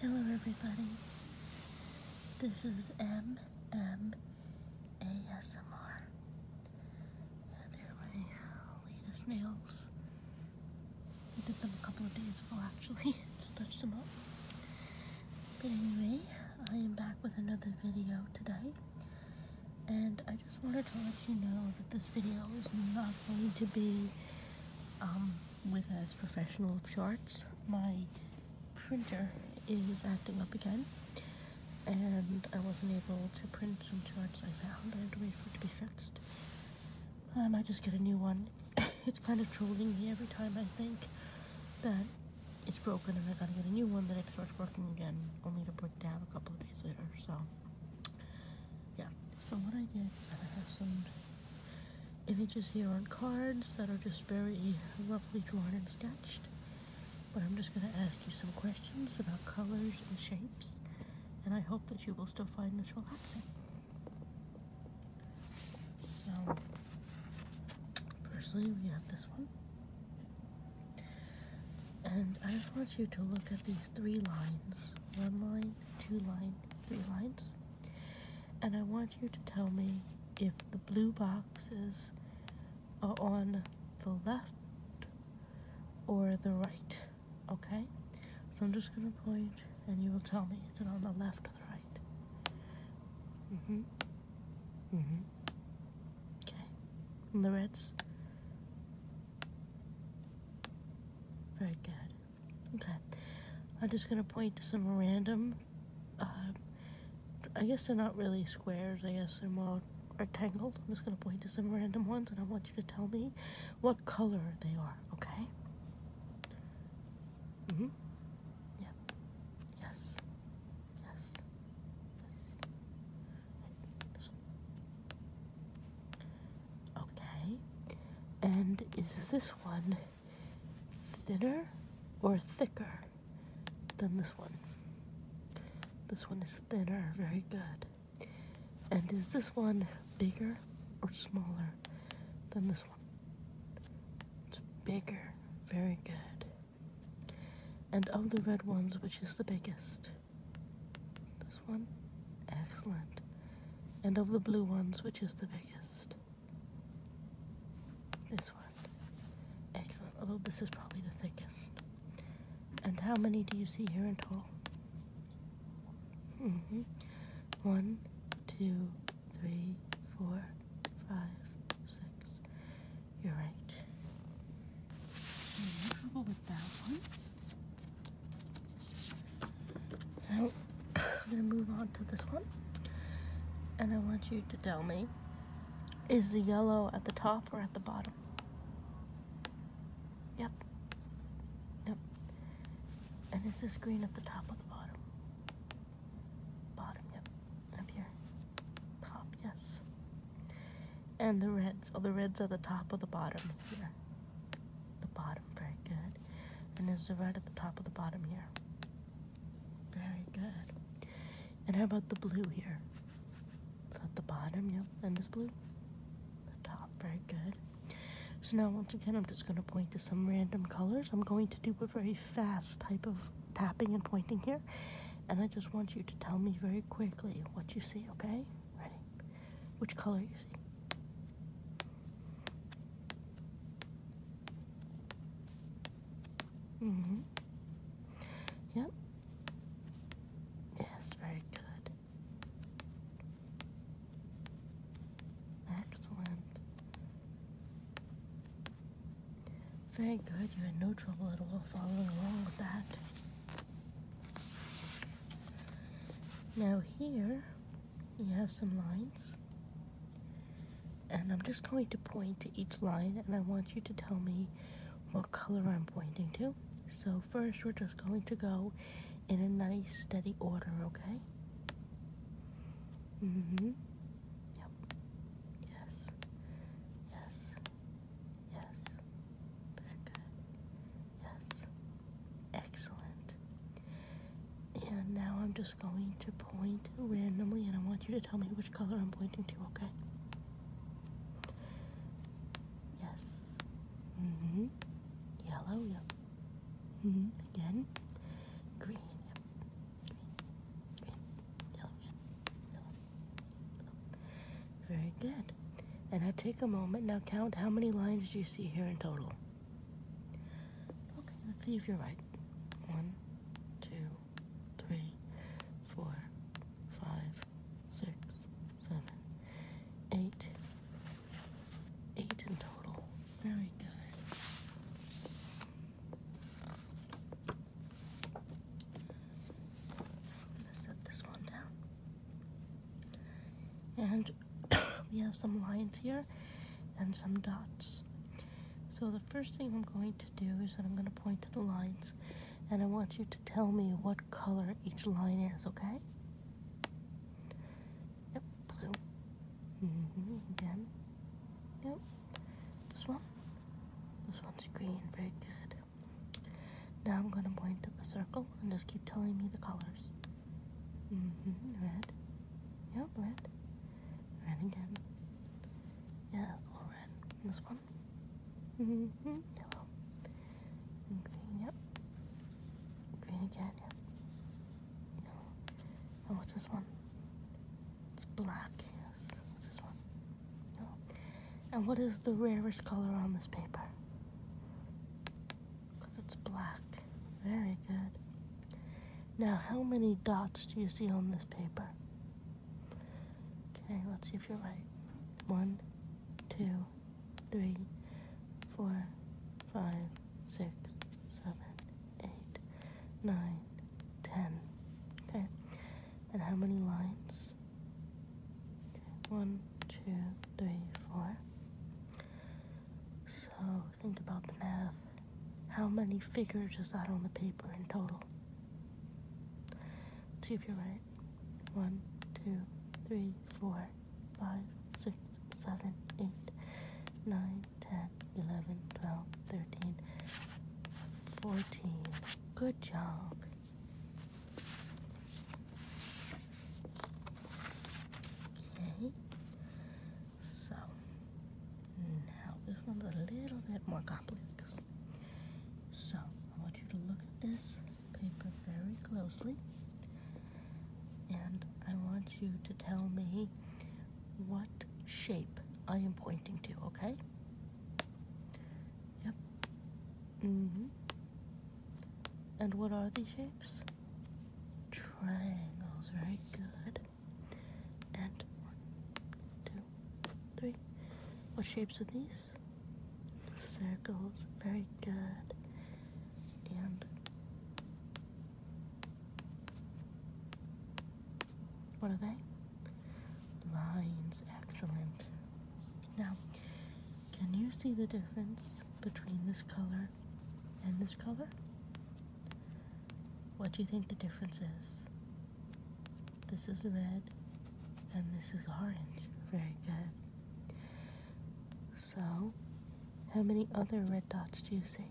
Hello, everybody. This is MM And they're my latest nails. I did them a couple of days ago, actually. Just touched them up. But anyway, I am back with another video today. And I I just wanted to let you know that this video is not going to be um, with as professional of charts. My printer is acting up again, and I wasn't able to print some charts I found. I had to wait for it to be fixed. I might just get a new one. it's kind of trolling me every time I think that it's broken and I gotta get a new one, that it starts working again, only to break down a couple of days later, so yeah, so what I did is I have some images here on cards that are just very roughly drawn and sketched. But I'm just going to ask you some questions about colors and shapes, and I hope that you will still find this relaxing. So, firstly, we have this one. And I want you to look at these three lines. One line, two lines, three lines. And I want you to tell me if the blue boxes are on the left or the right. Okay? So I'm just going to point and you will tell me is it on the left or the right? Mm hmm. Mm hmm. Okay. And the reds? Very good. Okay. I'm just going to point to some random, uh, I guess they're not really squares, I guess they're more rectangled. I'm just going to point to some random ones and I want you to tell me what color they are, okay? hmm Yep. Yes. Yes. Yes. Okay. And is this one thinner or thicker than this one? This one is thinner, very good. And is this one bigger or smaller than this one? It's bigger, very good. And of the red ones, which is the biggest? This one? Excellent. And of the blue ones, which is the biggest? This one. Excellent. Although this is probably the thickest. And how many do you see here in total? Mm-hmm. One, two, three, four, five, six. You're right. Are with that one? So I'm gonna move on to this one. And I want you to tell me, is the yellow at the top or at the bottom? Yep. Yep. And is this green at the top or the bottom? Bottom, yep. Up here. Top, yes. And the reds. Oh, the reds are the top or the bottom here the bottom. Very good. And there's a red at the top of the bottom here. Very good. And how about the blue here? So at the bottom, yep, and this blue. The top, very good. So now once again, I'm just going to point to some random colors. I'm going to do a very fast type of tapping and pointing here. And I just want you to tell me very quickly what you see, okay? Ready? Which color you see? Mm-hmm. Yep. Yes, very good. Excellent. Very good. You had no trouble at all following along with that. Now here you have some lines and I'm just going to point to each line and I want you to tell me what color I'm pointing to. So first we're just going to go in a nice steady order, okay? hmm Yep. Yes. Yes. Yes. Yes. Excellent. And now I'm just going to point randomly, and I want you to tell me which color I'm pointing to, okay? Yes. hmm. Yellow, yep. hmm. Again. Green, yep. Green, Yellow. Very good. And now take a moment. Now count how many lines do you see here in total? Okay, let's see if you're right. One, two, three, four, five, six, seven, eight. Eight in total. Very good. I'm set this one down. And we have some lines here and some dots. So the first thing I'm going to do is that I'm going to point to the lines and I want you to tell me what color each line is, okay? Yep, blue. Mm-hmm, again. Yep. This one. This one's green, very good. Now I'm going to point to the circle and just keep telling me the colors. Mm-hmm, red. Yep, red. Red again. Yeah, all red. And this one. Mm-hmm, yellow. green, yep. Green again, yep. Yellow. And what's this one? It's black, yes. What's this one? Yellow. And what is the rarest color on this paper? because it's black. Very good. Now, how many dots do you see on this paper? Okay, let's see if you're right. One, two, three, four, five, six, seven, eight, nine, ten. Okay, and how many lines? One, two, three, four. So think about the math. How many figures is that on the paper in total? let see if you're right. One, two, three, four, five, six, seven, eight, nine, ten, eleven, twelve, thirteen, fourteen. Good job. Okay, so now this one's a little bit more complex. So I want you to look at this paper very closely, and I want you to tell me what shape I am pointing to, okay? Yep. hmm. And what are these shapes? Triangles, very good. And one, two, three. What shapes are these? Circles, very good. And what are they? Lines, excellent. Now, can you see the difference between this color and this color? What do you think the difference is? This is red and this is orange. Very good. So, how many other red dots do you see?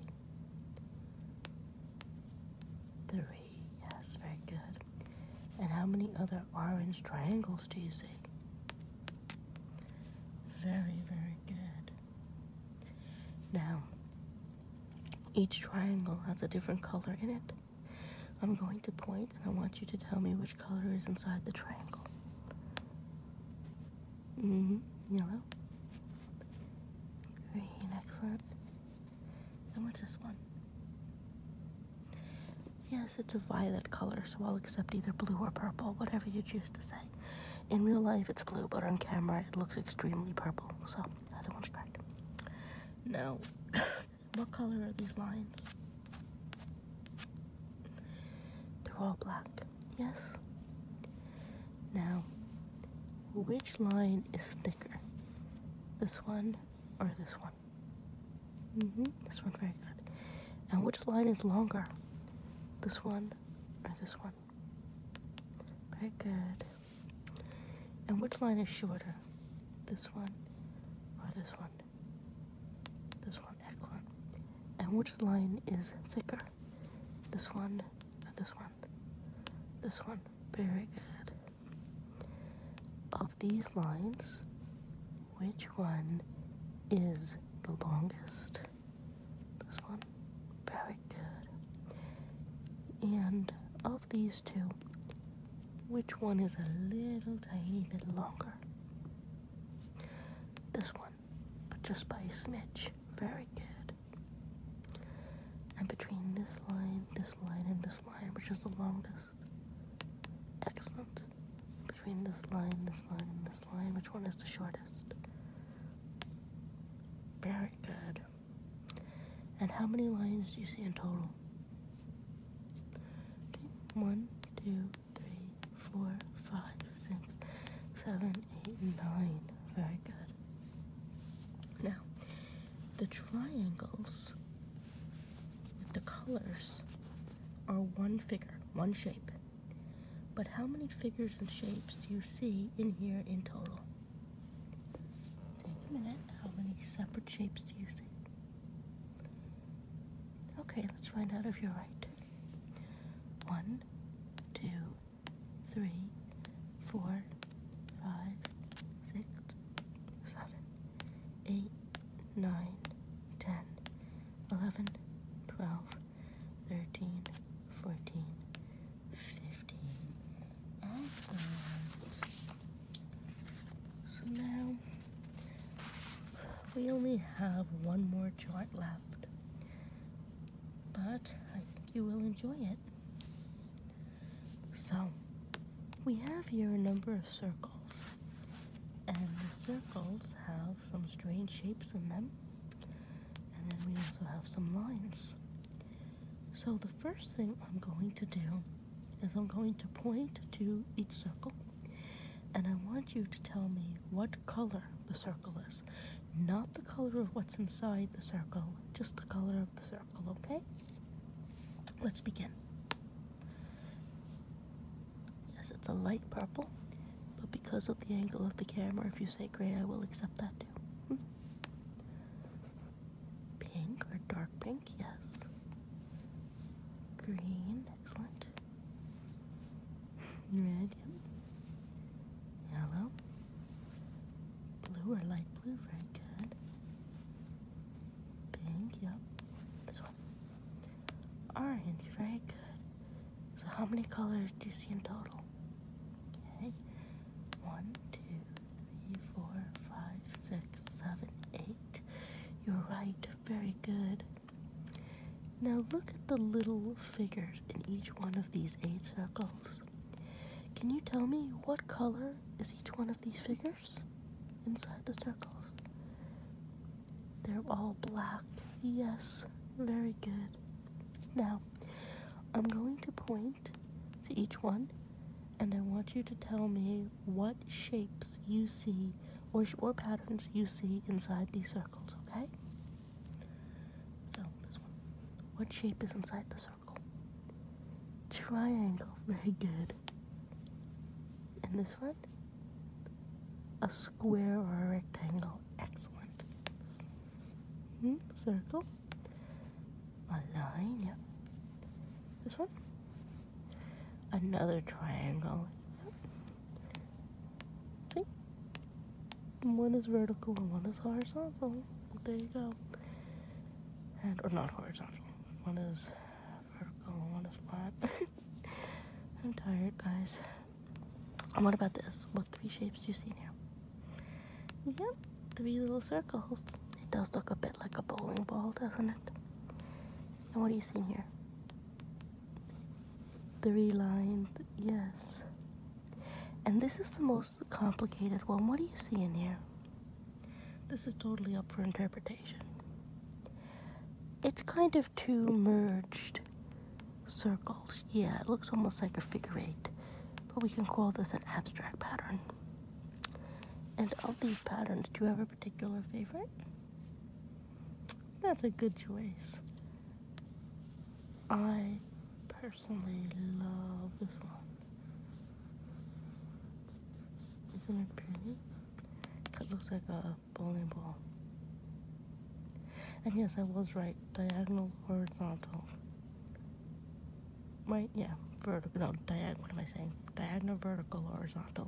Three. Yes, very good. And how many other orange triangles do you see? Very, very good. Now, each triangle has a different color in it. I'm going to point and I want you to tell me which color is inside the triangle. Mm-hmm. Yellow. Green, excellent. And what's this one? Yes, it's a violet color, so I'll accept either blue or purple, whatever you choose to say. In real life, it's blue, but on camera, it looks extremely purple, so either one's correct. Now, what color are these lines? They're all black, yes? Now, which line is thicker? This one or this one? Mm-hmm. This one, very good. And which line is longer? This one or this one? Very good. And which line is shorter? This one or this one? This one, excellent. And which line is thicker? This one or this one? This one, very good. Of these lines, which one is the longest? This one? Very good. And of these two, which one is a little tiny bit longer? This one, but just by a smidge. Very good. And between this line, this line, and this line, which is the longest? Excellent between this line, this line, and this line. Which one is the shortest? Very good. And how many lines do you see in total? One, two, three, four, five, six, seven, eight, nine. Very good. Now, the triangles with the colors are one figure, one shape. But how many figures and shapes do you see in here in total? Take a minute. How many separate shapes do you see? Okay, let's find out if you're right. One, two, three, four, five, six, seven, eight, 9, 10, 11, 12, 13, 14, 15, So now we only have one more chart left, but I think you will enjoy it. So we have your number of circles. And the circles have some strange shapes in them. And then we also have some lines. So the first thing I'm going to do is I'm going to point to each circle. And I want you to tell me what color the circle is. Not the color of what's inside the circle, just the color of the circle, okay? Let's begin. Yes, it's a light purple, but because of the angle of the camera, if you say gray, I will accept that too. Pink or dark pink, yes. Green, excellent. Red, yep. Yellow. Blue or light blue, very good. Pink, yep. Orange, very good. So how many colors do you see in total? Okay. One, two, three, four, five, six, seven, eight. You're right, very good. Now look at the little figures in each one of these eight circles. Can you tell me what color is each one of these figures? inside the circles. They're all black. Yes, very good. Now, I'm going to point to each one, and I want you to tell me what shapes you see or, patterns you see inside these circles, okay? So, this one. What shape is inside the circle? Triangle. Very good. And this one? a square or a rectangle. Excellent. Hmm, circle. A line. Yep. This one. Another triangle. Hmm. Yep. One is vertical and one is horizontal. There you go. And or not horizontal. One is for on a spot. I'm tired, guys. And what about this? What three shapes do you see here? Yep, three little circles. It does look a bit like a bowling ball, doesn't it? And what are you seeing here? Three lines, yes. And this is the most complicated one. What are you seeing here? This is totally up for interpretation. It's kind of two merged circles. Yeah, it looks almost like a figure eight, but we can call this an abstract pattern. And of these patterns, do you have a particular favorite? That's a good choice. I personally love this one. Isn't it pretty? It looks like a Bowling ball. And yes, I was right. Diagonal horizontal. Right, yeah, vertical. No, diagonal. What am I saying? Diagonal, vertical, horizontal.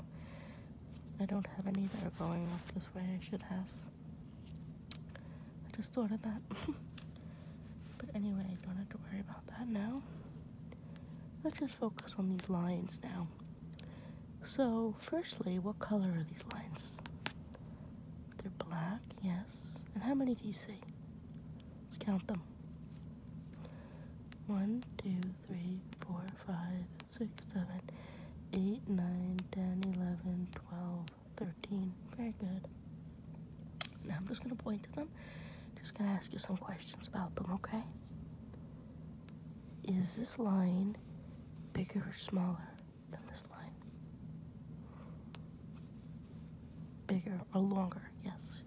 I don't have any that are going up this way. I should have. I just thought of that. but anyway, I don't have to worry about that now. Let's just focus on these lines now. So, firstly, what color are these lines? They're black, yes. And how many do you see? Let's count them. One, two, three, four, five, six, seven, eight, nine, ten, eleven, twelve, thirteen. Very good. Now I'm just going to point to them. Just going to ask you some questions about them, okay? Is this line bigger or smaller than this line? Bigger or longer, yes.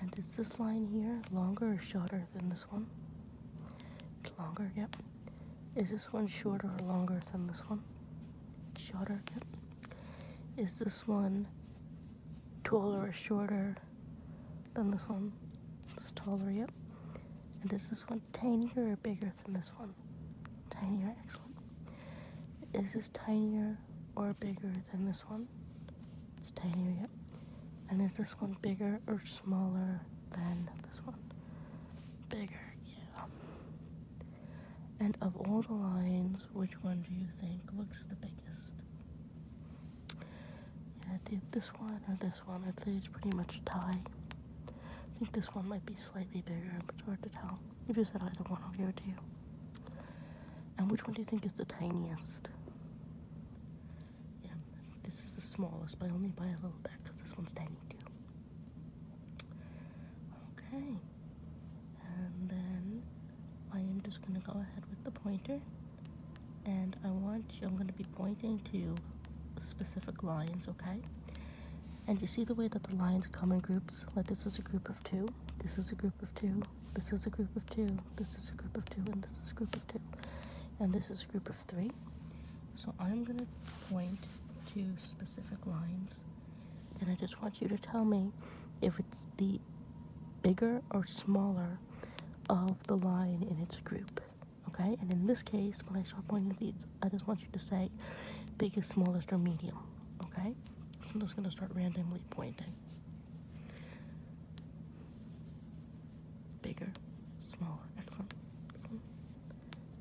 And is this line here longer or shorter than this one? Longer, yep. Is this one shorter or longer than this one? Shorter, Is this one taller or shorter than this one. It's taller, yep. And is this one tinier or bigger than this one? Tinier, excellent. Is this tinier or bigger than this one? It's tinier, yep. And is this one bigger or smaller than this one? Bigger, yeah. And of all the lines, which one do you think looks the biggest? Yeah, this one or this one. I'd say it's pretty much a tie. I think this one might be slightly bigger, but it's hard to tell. If you said either one, I'll give it to you. And which one do you think is the tiniest? Yeah, this is the smallest, but only by a little bit because this one's tiny too. Okay. And then I am just going to go ahead with the pointer and I want I'm going to be pointing to specific lines, okay? And you see the way that the lines come in groups? Like this is a group of two, this is a group of two, this is a group of two, this is a group of two, and this is a group of two, and this is a group of three. So I'm going to point to specific lines, and I just want you to tell me if it's the bigger or smaller of the line in its group okay? And in this case, when I start pointing these, I just want you to say biggest, smallest, or medium, okay? I'm just gonna start randomly pointing. Bigger, smaller, excellent. excellent.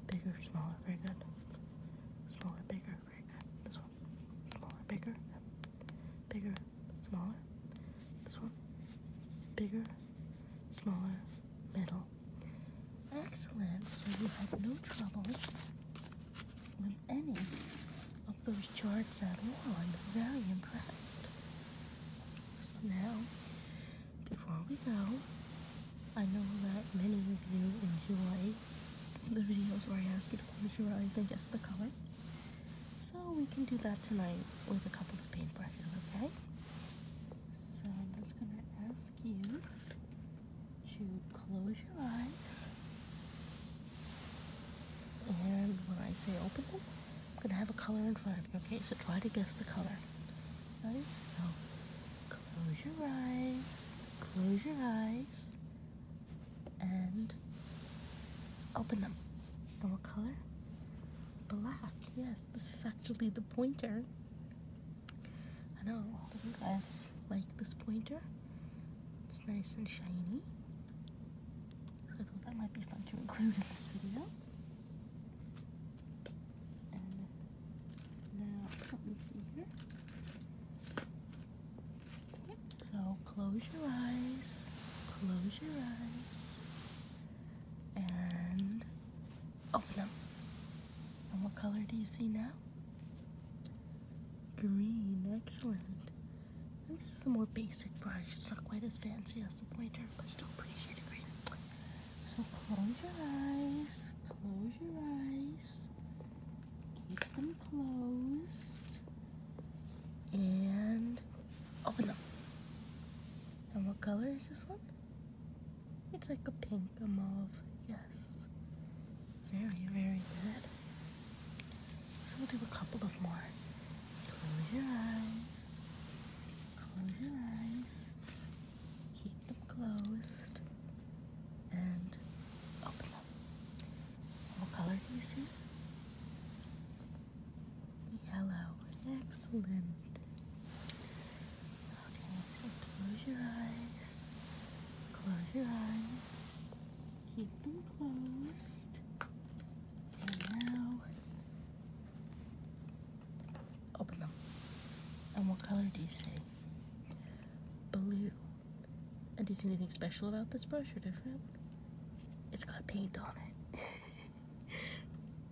Bigger, smaller, very good. Smaller, bigger, very good. This one. Smaller, bigger, bigger, smaller, this one. Bigger, smaller, middle. Excellent. So you had no trouble with any of those charts at all. I'm very impressed. now, before we go, I know that many of you enjoy the videos where I ask you to close your eyes and guess the color. So we can do that tonight with a couple of paintbrushes, okay? So I'm just going to ask you to close your eyes. And when I say open them, I'm going to have a color in front of you, okay? So try to guess the color. Ready? So close your eyes, close your eyes, and open them. And what color? Black, yes this. is actually the pointer. I know. Do you guys like this pointer? It's nice and shiny. So I thought that might be fun to include in this video. so close your eyes. Close your eyes and open up. And what color do you see now? Green, excellent. This is a more basic brush. It's not quite as fancy as the pointer, but still pretty shade of green. So close your eyes. Close your eyes. Keep them closed. And open up. And what color is this one? It's like a pink, a mauve. Yes. Very, very good. So we'll do a couple of more. Close your eyes. Close your eyes. Keep them closed. And open them. What color do you see? Yellow. Excellent. Okay, so close your eyes. Close your eyes. Keep them closed. And now open them. And what color do you see? Blue. And do you see anything special about this brush or different? It's got paint on it.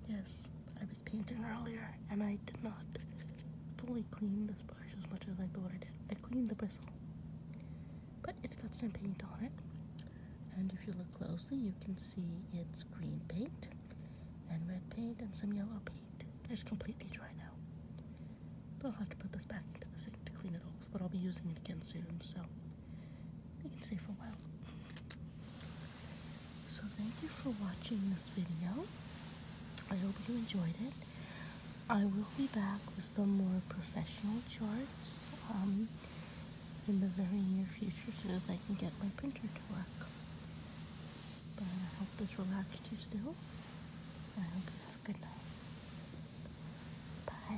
yes, I was painting earlier and I did not fully clean this brush as much as I thought I did. I cleaned the bristle, but it's got some paint on it. And if you look closely, you can see it's green paint and red paint and some yellow paint. It's completely dry now. But I'll have to put this back into the sink to clean it off, but I'll be using it again soon, so I can stay for a while. So thank you for watching this video. I hope you enjoyed it. I will be back with some more professional charts um, in the very near future as soon as I can get my printer to work. But I hope this relaxed you still. I hope you have a good night. Bye.